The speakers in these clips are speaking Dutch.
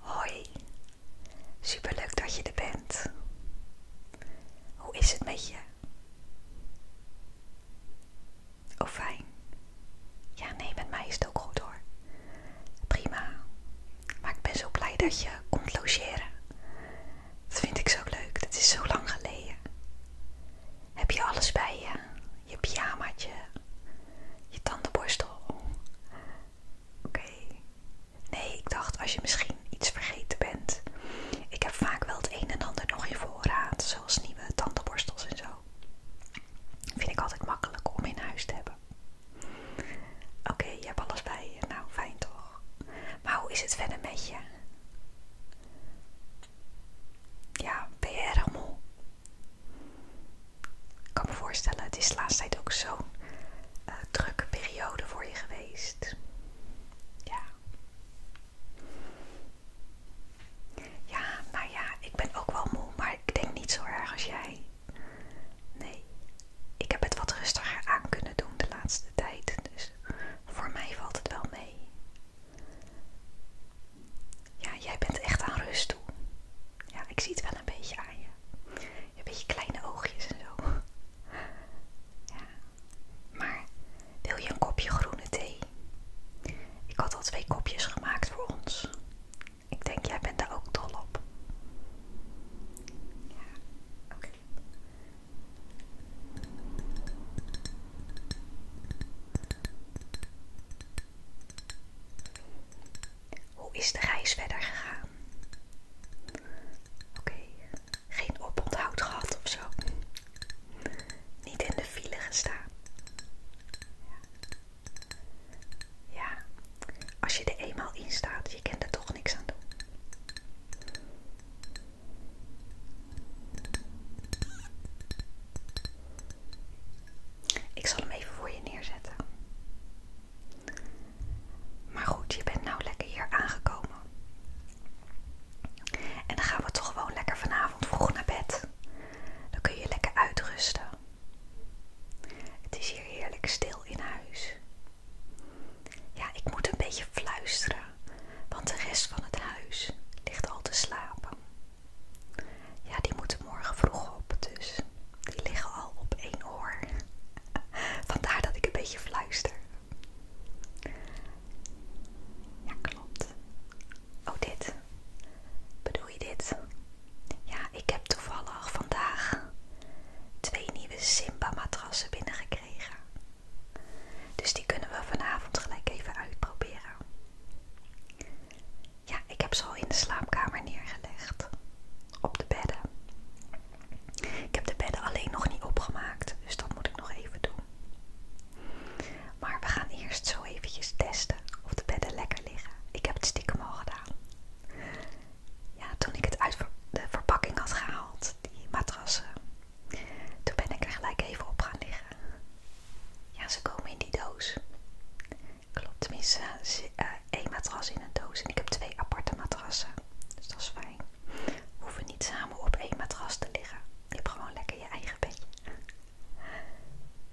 Hoi, superleuk dat je er bent. Hoe is het met je? Oh fijn. Ja, nee, met mij is het ook goed hoor. Prima. Maar ik ben zo blij dat je komt logeren. Dat vind ik zo leuk. Dat is zo lang geleden. Heb je alles bij je? Je pyjamaatje, je tandenborstel, Oké. Nee, ik dacht als je misschien iets vergeten bent. Ik heb vaak wel het een en ander nog in voorraad, zoals nieuwe tandenborstels en zo. Vind ik altijd makkelijk om in huis te hebben. Oké, je hebt alles bij je. Nou, fijn toch? Maar hoe is het verder met je? Ja, ben je erg moe? Ik kan me voorstellen, het is de laatste tijd ook zo'n eh, drukke periode voor je geweest. Ja. Ja, nou ja, ik ben ook wel moe, maar ik denk niet zo erg als jij. Nee, ik heb het wat rustiger aan kunnen doen de laatste tijd, dus voor mij valt het wel mee. Ja, jij bent echt aan rust toe. Ja, ik zie het wel een beetje aan je. Een beetje kleine oogjes en zo. Ja. Maar wil je een kopje groene thee? Ik had al twee kopjes gemaakt voor ons. Ik denk, jij bent daar ook dol op. Ja, oké. Hoe is de reis verder gegaan? Oké, geen oponthoud gehad of zo. Niet in de file gestaan. Ja. als je er eenmaal in staat, je kent er toch niks aan doen. Ik zal hem even voor je neerzetten. Maar goed, je bent nou lekker hier aangekomen. En dan gaan we toch gewoon lekker vanavond vroeg naar bed. Dan kun je lekker uitrusten. Het is hier heerlijk stil in huis. Ja, ik moet een beetje fluisteren, want de rest van het huis ligt al te slapen. Ja, die moeten morgen vroeg op, dus die liggen al op één oor. Vandaar dat ik een beetje fluister. Ja, klopt. Oh, dit. Bedoel je dit? Ja, ik heb toevallig vandaag twee nieuwe Simba-matrassen binnengekregen. Dus die kunnen we vanavond gelijk even uitproberen ja, ik heb ze al in de slaapkamer neergelegd. Op de bedden. Ik heb de bedden alleen nog niet opgemaakt, dus dat moet ik nog even doen. Maar we gaan eerst zo eventjes testen of de bedden lekker liggen. Ik heb het stiekem al gedaan. Ja, toen ik het uit de verpakking had gehaald, die matrassen, toen ben ik er gelijk even op gaan liggen. Ja, ze komen in die doos. Klopt, tenminste eh, één matras in een doos. En ik heb twee aparte matrassen. Dus dat is fijn. We hoeven niet samen op één matras te liggen. Je hebt gewoon lekker je eigen bedje.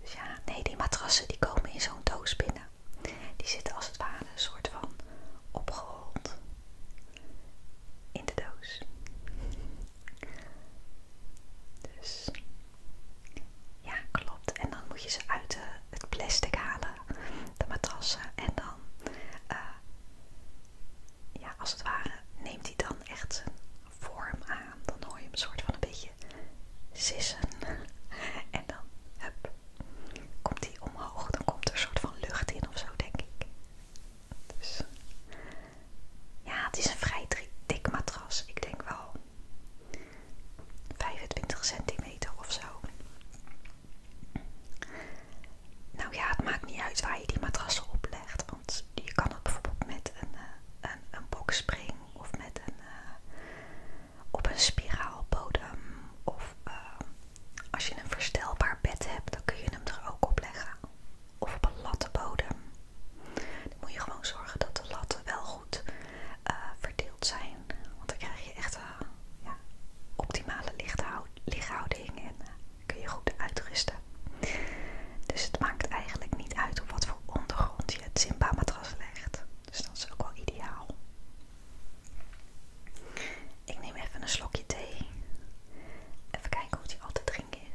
Dus ja, nee, die matrassen die komen in zo'n doos binnen. Die zitten als het ware een soort van opgerold in de doos. Dus ja, klopt. En dan moet je ze uit het plastic halen, de matrassen. En dan, eh, ja, als het ware, neemt hij dan echt zijn vorm aan. Dan hoor je hem soort van een beetje sissen. En dan, komt hij omhoog. Dan komt er een soort van lucht in of zo, denk ik. Dus, ja, het is een vrij dik matras. Ik denk wel 25 centimeter of zo. Nou ja, het maakt niet uit waar je die op oplegt. Want je kan het bijvoorbeeld met een, eh, een, een bokspring of met een, eh, op een spiraalbodem. Of eh, als je een verstelbaar bed hebt, dan kun je hem er ook op leggen. Of op een lattenbodem. Dan moet je gewoon zorgen dat de latten wel goed eh, verdeeld zijn. Want dan krijg je echt ja, optimale lichthouding en eh, kun je goed uitrusten. Dus het maakt eigenlijk niet uit op wat voor ondergrond je het Simba-matras legt. Dus dat is ook wel ideaal. Ik neem even een slokje thee. Even kijken hoe die altijd drinken is.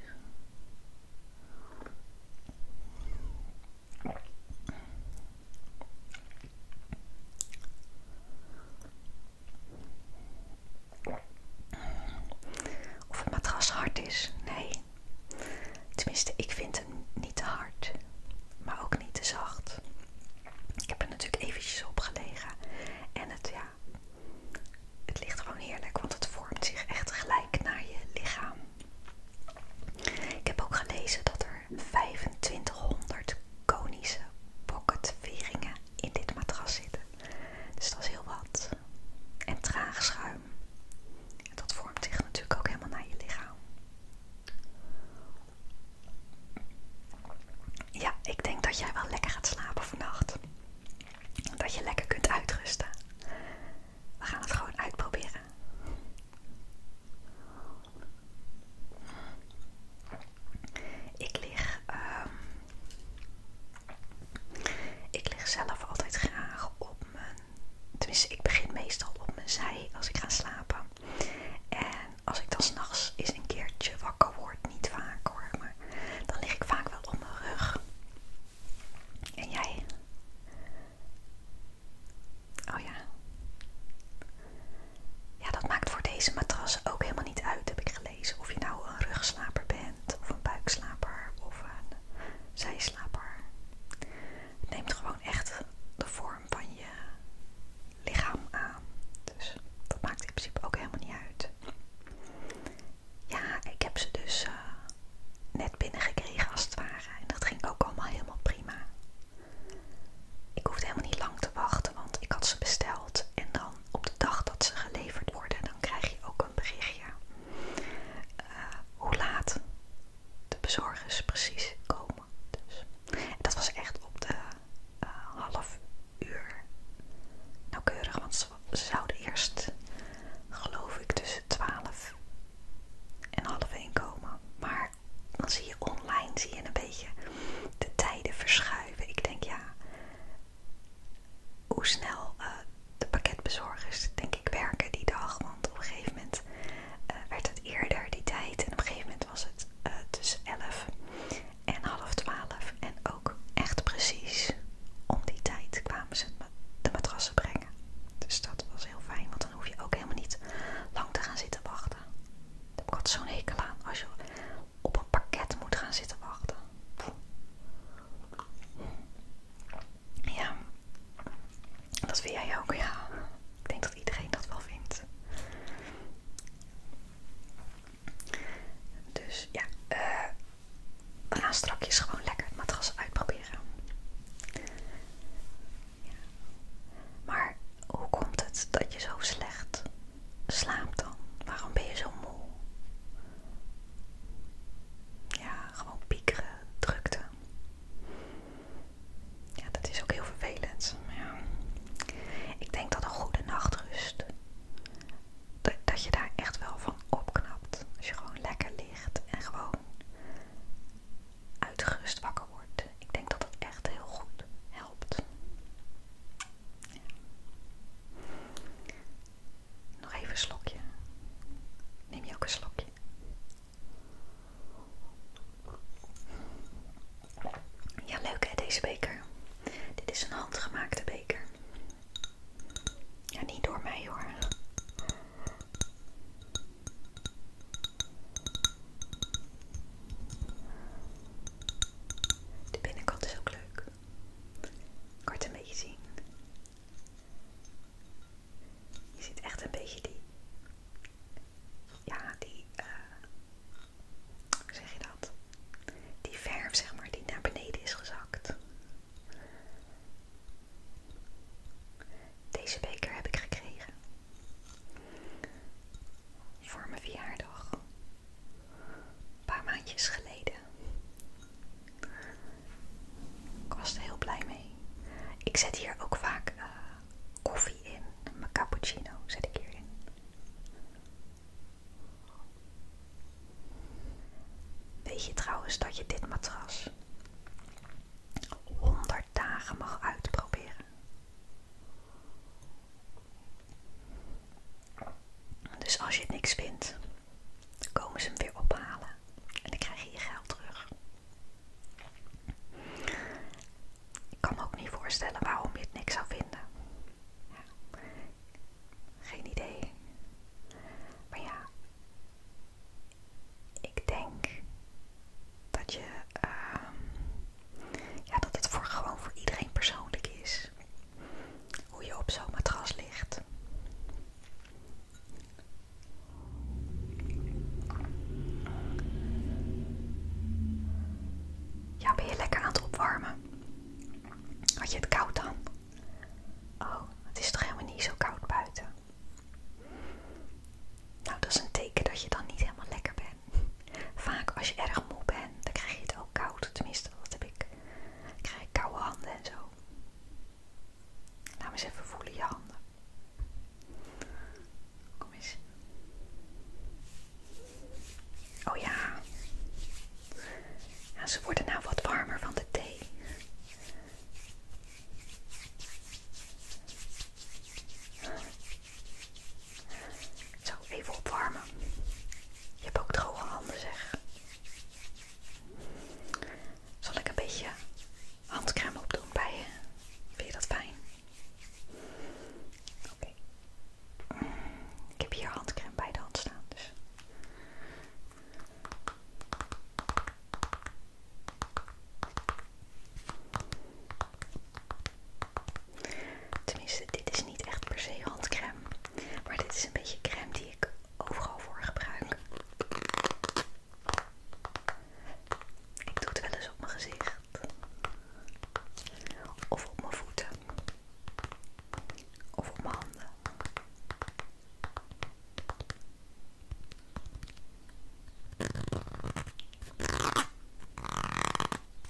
Of het matras hard is, nee. Tenminste, ik vind hem niet te hard, maar ook niet te zacht. Ik heb er natuurlijk eventjes op gelegen en het, ja, het ligt gewoon heerlijk, want het vormt zich echt gelijk naar je lichaam. Ik heb ook gelezen dat er 2500 konische pocketveringen in dit matras zitten. Dus dat is heel wat. En traag schuim. dat vormt zich natuurlijk ook helemaal naar je lichaam. Ja, ik denk dat jij wel lekker gaat slapen vannacht. Dat je lekker kunt uitrusten. We gaan het gewoon uitproberen. Ik lig, ehm, ik lig zelf altijd graag op mijn. Tenminste, ik begin meestal op mijn zij als ik ga slapen. En als ik dan s'nachts eens een keertje wakker word, niet vaak hoor, maar dan lig ik vaak wel op mijn rug. En jij? Oh ja. Ja, dat maakt voor deze matras ook helemaal niet uit, heb ik gelezen. Of je nou een rugslaper bent, of een buikslaper, of een zijslaper. Het neemt gewoon echt de vorm van je lichaam aan. Dus dat maakt in principe ook helemaal niet uit. Ja, ik heb ze dus eh, net binnengekregen als het ware. En dat ging ook allemaal helemaal prima. Ik hoefde helemaal niet lang te wachten, want ik had ze besteld. En dan op de dag dat ze geleverd worden, dan krijg je ook een berichtje. Eh, hoe laat de bezorgers precies komen. Dus. dat was echt op de eh, half uur nauwkeurig, want ze, zouden eerst, geloof ik, tussen 12 en half 1 komen. Maar dan zie je online zie je een beetje de tijden verschuiven. Ik denk ja, hoe snel eh, de pakketbezorgers denk ik werken die dag. Want op een gegeven moment eh, werd het eerder die tijd. En op een gegeven moment was het eh, tussen elf en half 12. En ook echt precies om die tijd kwamen ze de matrassen brengen. Dus dat was heel fijn. Want dan hoef je ook helemaal niet lang te gaan zitten wachten. Daar heb ik altijd zo'n hekel aan. Als je op een pakket moet gaan zitten wachten. Ja. Dat vind jij ook, ja. Ik denk dat iedereen dat wel vindt. Dus ja, eh, we gaan strakjes gewoon lekker het matras uitproberen. Maar hoe komt het dat je zo slecht slaapt dan? Waarom ben je zo moe? Ja, gewoon piekeren, drukte. Ja, dat is ook heel vervelend. Ik denk dat een goede nachtrust, dat je daar echt wel van opknapt. Als je gewoon lekker ligt en gewoon uitgerust wakker wordt. Ik denk dat dat echt heel goed helpt. Nog even een slokje. Neem je ook een slokje? Ja, leuk hè, deze beker. Dit is een handgemaakte beker. Ja, niet door mij hoor. De binnenkant is ook leuk. Kort een beetje zien. Je ziet echt een beetje die. Ja, die. Eh, hoe zeg je dat? Die verf, zeg maar, die naar beneden is gezakt. Deze beker heb ik gekregen voor mijn verjaardag. Een paar maandjes geleden. Ik was er heel blij mee. Ik zet hier ook vaak eh, koffie in. Mijn cappuccino zet ik hierin. Weet je trouwens dat je dit matras 100 dagen mag uitproberen? Dus als je niks vindt, komen ze hem weer ophalen en dan krijg je geld terug. Ik kan me ook niet voorstellen waarom je het niks zou vinden. Geen idee. Maar ja, ik denk dat je ehm, ja, dat het voor, gewoon voor iedereen persoonlijk is hoe je op zo'n matras ligt. Ja, ben je lekker aan het opwarmen? Had je het koud dan? Oh, het is toch helemaal niet zo koud buiten? Nou, dat is een teken dat je dan niet helemaal lekker bent. Vaak als je erg moe bent, dan krijg je het ook koud. Tenminste, wat heb ik. krijg ik koude handen en zo. Laten we eens even voelen je handen. Kom eens. Oh ja. ja. Ze worden nou wat warmer van de thee. Zo, even opwarmen. Je hebt ook droge handen, zeg. Zal ik een beetje handcrème opdoen bij je? Vind je dat fijn? Oké. Ik heb hier handcrème bij de hand staan, dus... Tenminste, dit is niet echt per se handcrème. Maar dit is een beetje crème die ik overal voor gebruik. Ik doe het wel eens op mijn gezicht. Of op mijn voeten. Of op mijn handen.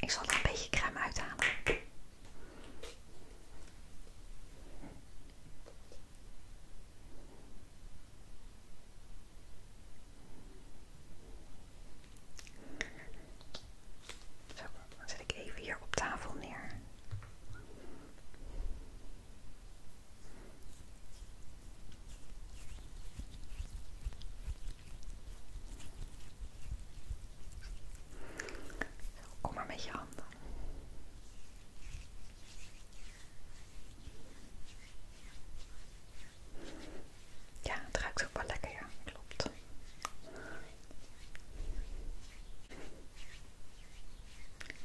Ik zal er een beetje crème uithalen. Zo, dan zet ik even hier op tafel neer. Kom maar met je handen. Ja, het ruikt ook wel lekker, ja, klopt.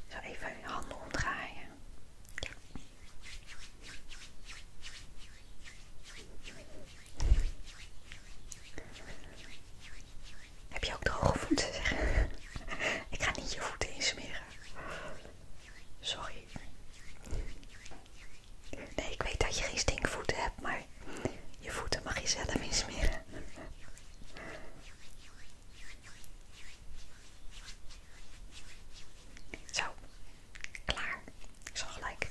Zo even je handen omdraaien. Ja. Heb je ook droge voeten? Ik ga niet je voeten insmeren. Sorry. Nee, ik weet dat je geen stinkvoeten hebt, maar je voeten mag je zelf insmeren. Zo, Klaar. Ik zal gelijk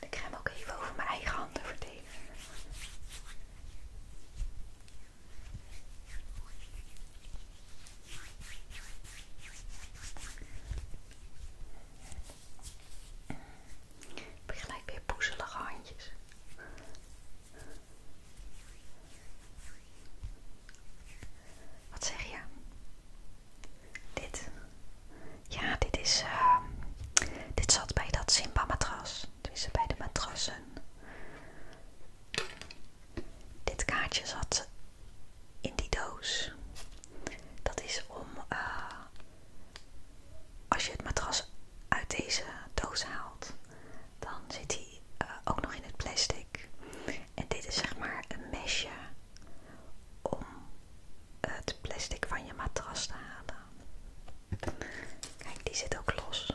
Ik ga hem ook even over mijn eigen handen verdelen. Ik je gelijk weer poezelige handjes. Wat zeg je? Dit. Ja, dit is. Eh, dit zat bij dat Simba-matras. tussen bij de matrassen. Dit kaartje zat in die doos. Dat is om. Eh, als je het matras uit deze doos haalt, dan zit hij eh, ook nog in het plastic. En dit is zeg maar een mesje om het plastic van je matras te halen. Kijk, die zit ook los.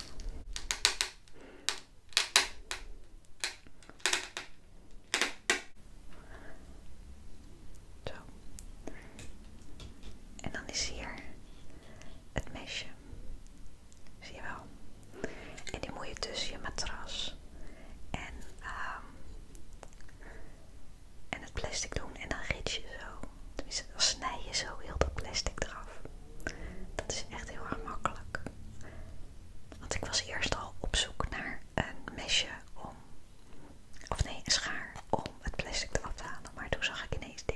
Zo. En dan is hier het mesje. Zie je wel? En die moet je tussen je matras en um, en het plastic doen en dan rit je zo. dan snij je zo heel dat plastic eraf. Dat is echt heel erg makkelijk. Want ik was eerst al op zoek naar een mesje om, of nee, een schaar om het plastic eraf te halen. Maar toen zag ik ineens dit.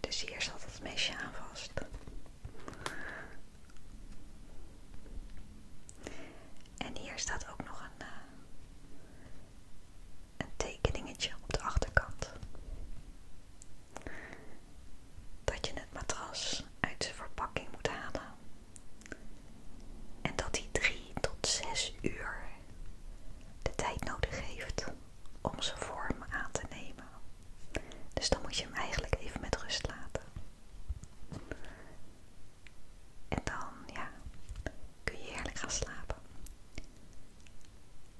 Dus hier zat het mesje aan vast. En hier staat ook nog een, eh, een tekeningetje op de achterkant dat je het matras uit zijn verpakking moet halen. En dat hij 3 tot 6 uur de tijd nodig heeft om zijn vorm aan te nemen. Dus dan moet je hem eigenlijk even met rust laten. En dan kun je heerlijk gaan slapen.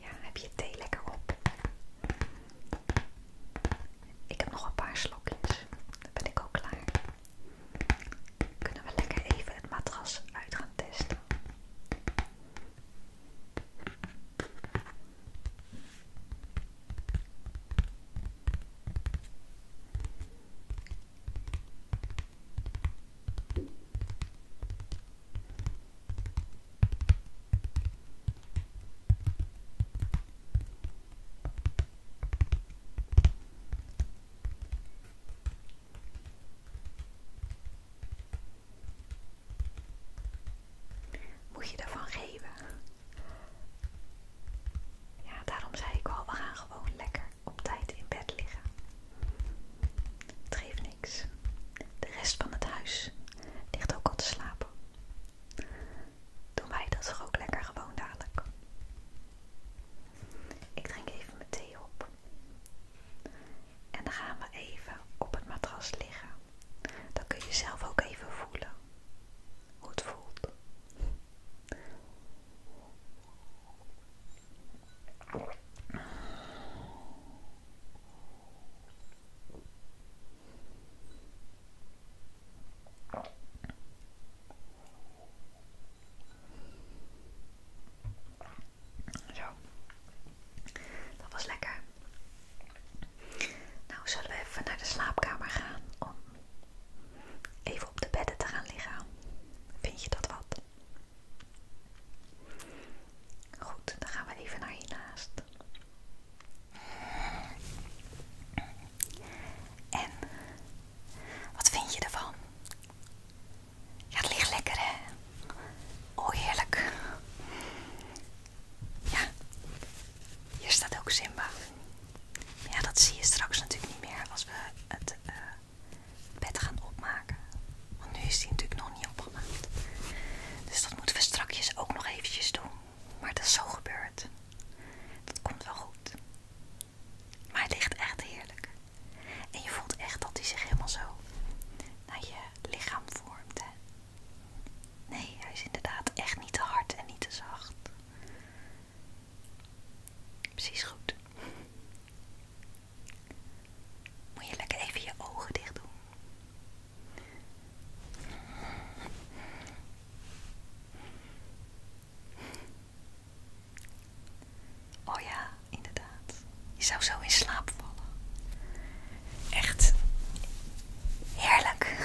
Ja, heb je thee lekker op? Ik heb nog een paar slokjes. Dan ben ik ook klaar. Kunnen we lekker even het matras uit gaan testen? Moet je daarvan geven? Ja, daarom zei ik al, we gaan gewoon lekker op tijd in bed liggen. Het geeft niks. De rest van het huis ligt ook al te slapen. Doen wij dat toch ook lekker gewoon dadelijk. Ik drink even mijn thee op. En dan gaan we even op het matras liggen. Dan kun je zelf ook even voelen hoe het voelt. Zo. Dat was lekker. Nou, zullen we even naar de slaapkamer gaan om even op de bedden te gaan liggen. Vind je dat wat? Goed, dan gaan we even naar hiernaast. En wat vind je ervan? Ja, het ligt lekker hè? Oh, heerlijk. Ja, hier staat ook Simba. Ja, dat zie je straks natuurlijk niet meer als we het eh, bed gaan opmaken. Want nu is die natuurlijk nog niet opgemaakt. Dus dat moeten we strakjes ook nog eventjes doen. Maar dat is zo gebeurd. Dat komt wel goed. Maar het ligt echt heerlijk. En je voelt echt dat hij zich helemaal zo naar je lichaam vormt. Nee, hij is inderdaad echt niet te hard en niet te zacht. Precies goed. Moet je lekker even je ogen dicht doen. Oh ja, inderdaad. Je zou zo in slaap vallen. Echt heerlijk.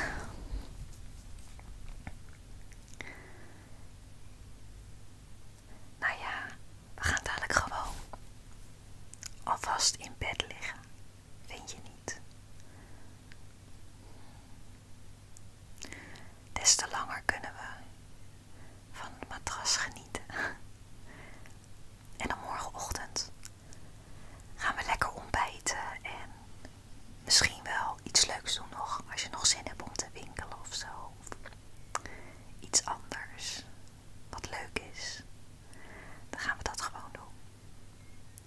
Nou ja, we gaan dadelijk gewoon alvast in bed liggen. Vind je niet? Des te langer kunnen we van het matras genieten. En dan morgenochtend gaan we lekker ontbijten en misschien wel iets leuks doen nog als je nog zin hebt om te winkelen of zo iets anders, wat leuk is, dan gaan we dat gewoon doen.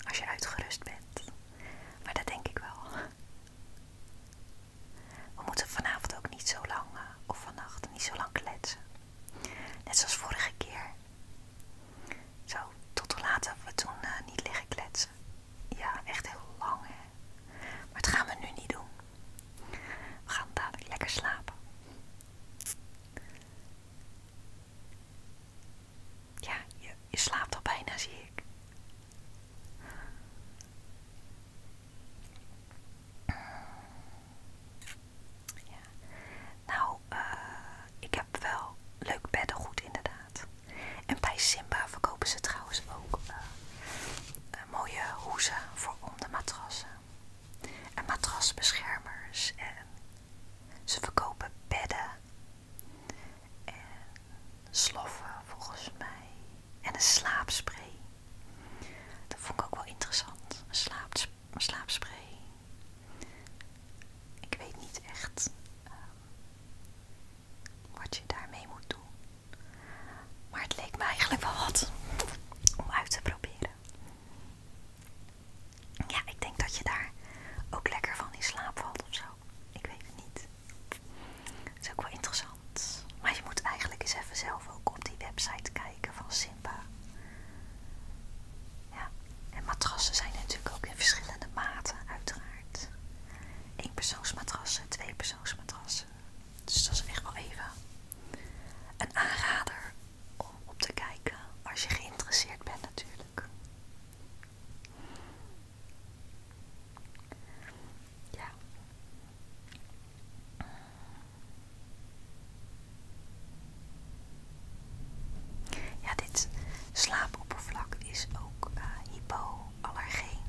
Als je uitgerust bent. Maar dat denk ik wel. We moeten vanavond ook niet zo lang, eh, of vannacht, niet zo lang kletsen. Net zoals vorige keer. Zo, tot de laat hebben we toen eh, niet liggen kletsen. Ja, echt heel lang hè. Maar dat gaan we nu niet doen. We gaan dadelijk lekker slapen. Ja, je, slaapt al bijna, zie ik. Ja. Nou, eh, ik heb wel leuk beddengoed inderdaad. En bij Simba verkopen ze trouwens ook eh, mooie hoezen voor om de matrassen. En matrasbeschermers. En ze verkopen bedden. En sloffen volgens mij. En een slaapspray. Dat vond ik ook wel interessant. Een, slaapspray. Ik weet niet echt ehm, wat je daarmee moet doen. Maar het leek me eigenlijk wel wat om uit te proberen. Ja, ik denk dat je daar ook lekker van in slaap valt of zo. Ik weet het niet. Het is ook wel interessant. Maar je moet eigenlijk eens even zelf ook op die website kijken van Simba. Ja, en matrassen zijn natuurlijk ook in verschillende maten, uiteraard. twee tweepersoonsmatrassen. Dus dat is echt wel even een aanrader om op te kijken als je geïnteresseerd bent natuurlijk. Ja. Ja, dit slaapoppervlak is ook uh, hypoallergeen.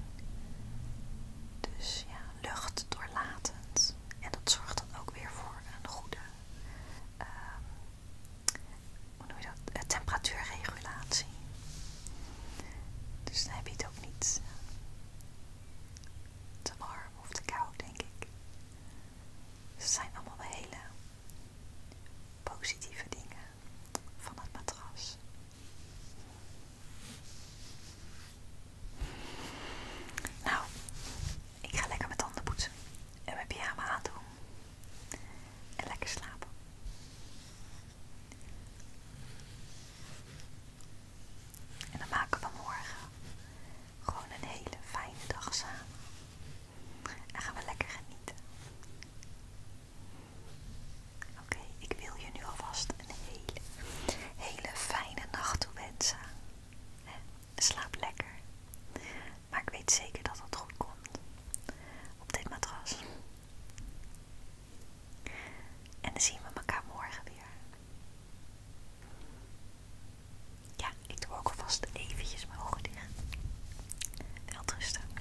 Dus ja, lucht doorlatend. En dat zorgt dan ook weer voor een goede ehm, eh, temperatuurregulatie. Dus dan heb je het ook niet eh, te warm of te koud, denk ik. Dus zijn allemaal hele positieve dingen van het matras. Nou, ik ga lekker mijn tanden poetsen en mijn pyjama aandoen en lekker slapen. En dan maken we morgen gewoon een hele fijne dag samen. En gaan we lekker genieten. Oké. Ik wil je nu alvast een hele, hele fijne nacht toewensen. Slaap lekker. Maar ik weet zeker dat het goed komt. Op dit matras. En dan zien we elkaar morgen weer. Ja, ik doe ook alvast eventjes mijn ogen dicht. veel rusten.